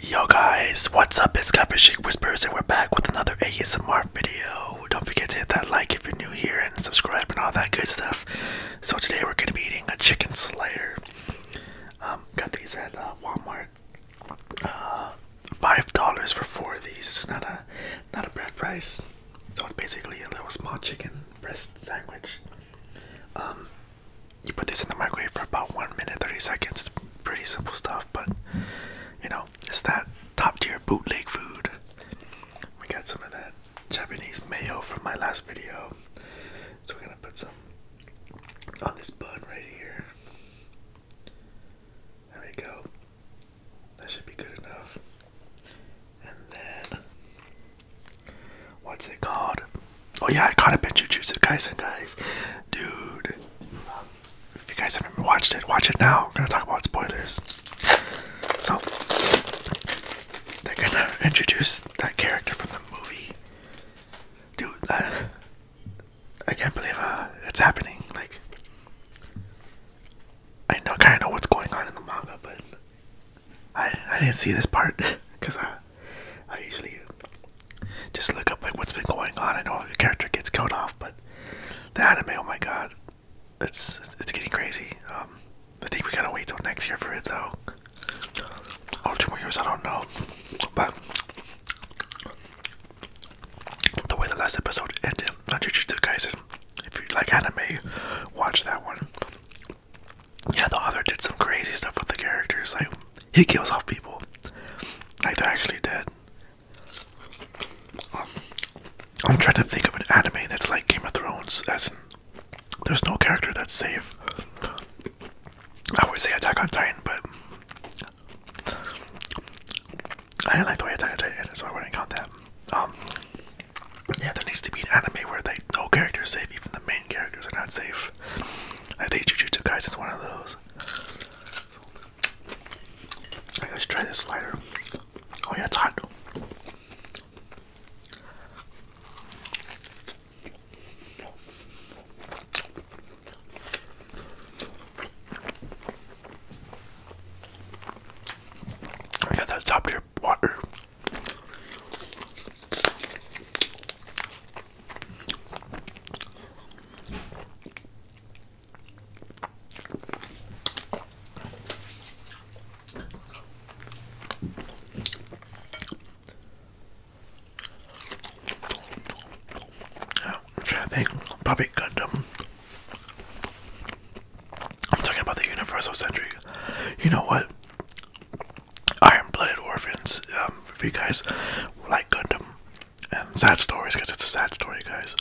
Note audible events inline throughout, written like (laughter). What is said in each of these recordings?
Yo guys, what's up? It's Sheik Whispers and we're back with another ASMR video. Don't forget to hit that like if you're new here and subscribe and all that good stuff. So today we're going to be eating a chicken slider. Um, got these at uh, Walmart. Uh, five dollars for four of these. It's not a not a bread price. So it's basically a little small chicken breast sandwich. Um, you put this in the microwave for about 1 minute 30 seconds. It's pretty simple stuff, but you know, it's that top tier bootleg food. We got some of that Japanese mayo from my last video. So we're gonna put some on this bun right here. There we go. That should be good enough. And then What's it called? Oh yeah, I caught a bunch of Jujutsu Kaisen, guys. Dude, if you guys haven't watched it, watch it now. We're gonna talk about spoilers. So they're gonna introduce that character from the movie. Dude, uh, I can't believe uh, it's happening. Like, I know, kind of know what's going on in the manga, but I I didn't see this part because (laughs) I I usually just look up like what's been going on. I know the character gets killed off, but the anime, oh my god, it's it's getting crazy. Um, I think we gotta wait till next year for it though. Or more years, I don't know. But the way the last episode ended I on Jujutsu Kaisen, if you like anime, watch that one yeah, the author did some crazy stuff with the characters. Like, he kills off people. Like, they're actually dead. I'm trying to think of an anime that's like Game of Thrones, as there's no character that's safe. I would say Attack on Titan, but I didn't like the way Attack on Titan ended, so I wouldn't count that. Um, yeah, there needs to be an anime where they no character is safe, even the main characters are not safe. I think Jujutsu Kaisen is one of those. let's try this slider. Oh yeah, it's hot. I got that top tier water. Which I think probably Gundam I'm talking about the universal century. You know what? Iron Blooded Orphans. Um, if you guys like Gundam and sad stories, because it's a sad story, guys.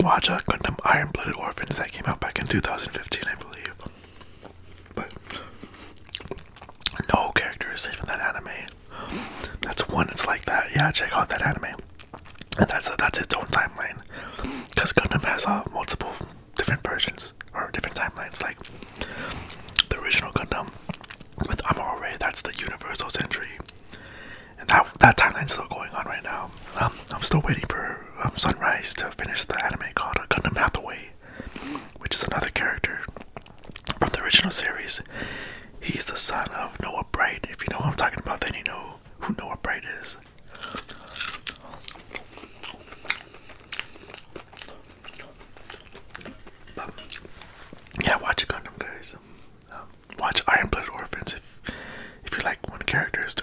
Watch uh, Gundam Iron Blooded Orphans that came out back in 2015, I believe. But no character is safe in that anime. That's one. It's like that. Yeah, check out that anime. And that's uh, that's its own timeline, because Gundam has uh, multiple different versions or different timelines. Like the original Gundam with Amuro Ray, that's the Universal Century, and that that timeline's still going on right now. Um, I'm still waiting for um, Sunrise to finish the anime called Gundam Hathaway, which is another character from the original series. He's the son of Noah Bright. If you know who I'm talking about, then you know who Noah Bright is yeah, watch Gundam, guys. Um, watch Iron Blooded Orphans if if you like when characters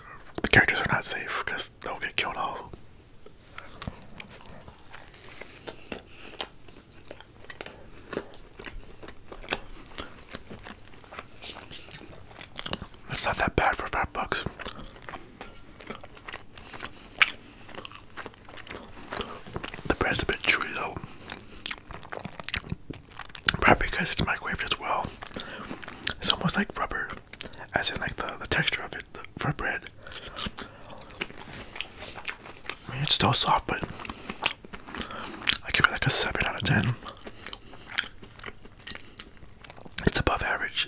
the characters are not safe because they'll get killed off. It's not that bad for five bucks. The bread's a bit chewy though. Probably because it's microwaved as well. It's almost like rubber, as in like the, the texture of it for bread. it's still soft, but I give it like a 7 out of 10. It's above average.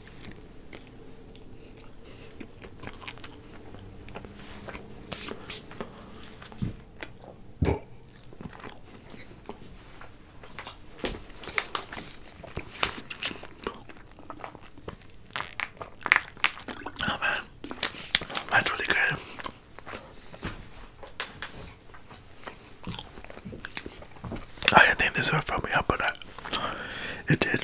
Oh, man, that's really good. I didn't think this would throw me up, but I, it did.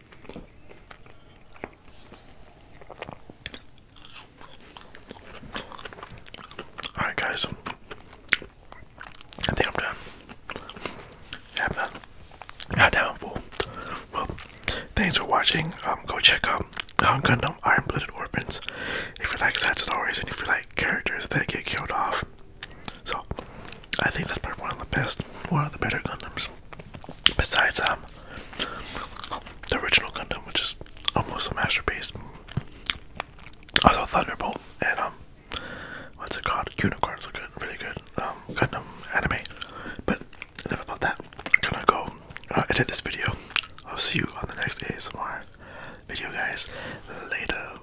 Alright, guys, I think I'm done. Yeah, I'm done. Well, thanks for watching. Um, go check out um, Gundam Iron Blooded Orphans. If you like sad stories and if you like characters that get killed off, so I think that's probably one of the best, one of the better condoms, Besides um, the original condom, which is almost a masterpiece. Also Thunderbolt and um, what's it called? Unicorns are good, really good um condom anime. But enough about that. I'm gonna go uh, edit this video. I'll see you on the next ASMR video, guys. Later.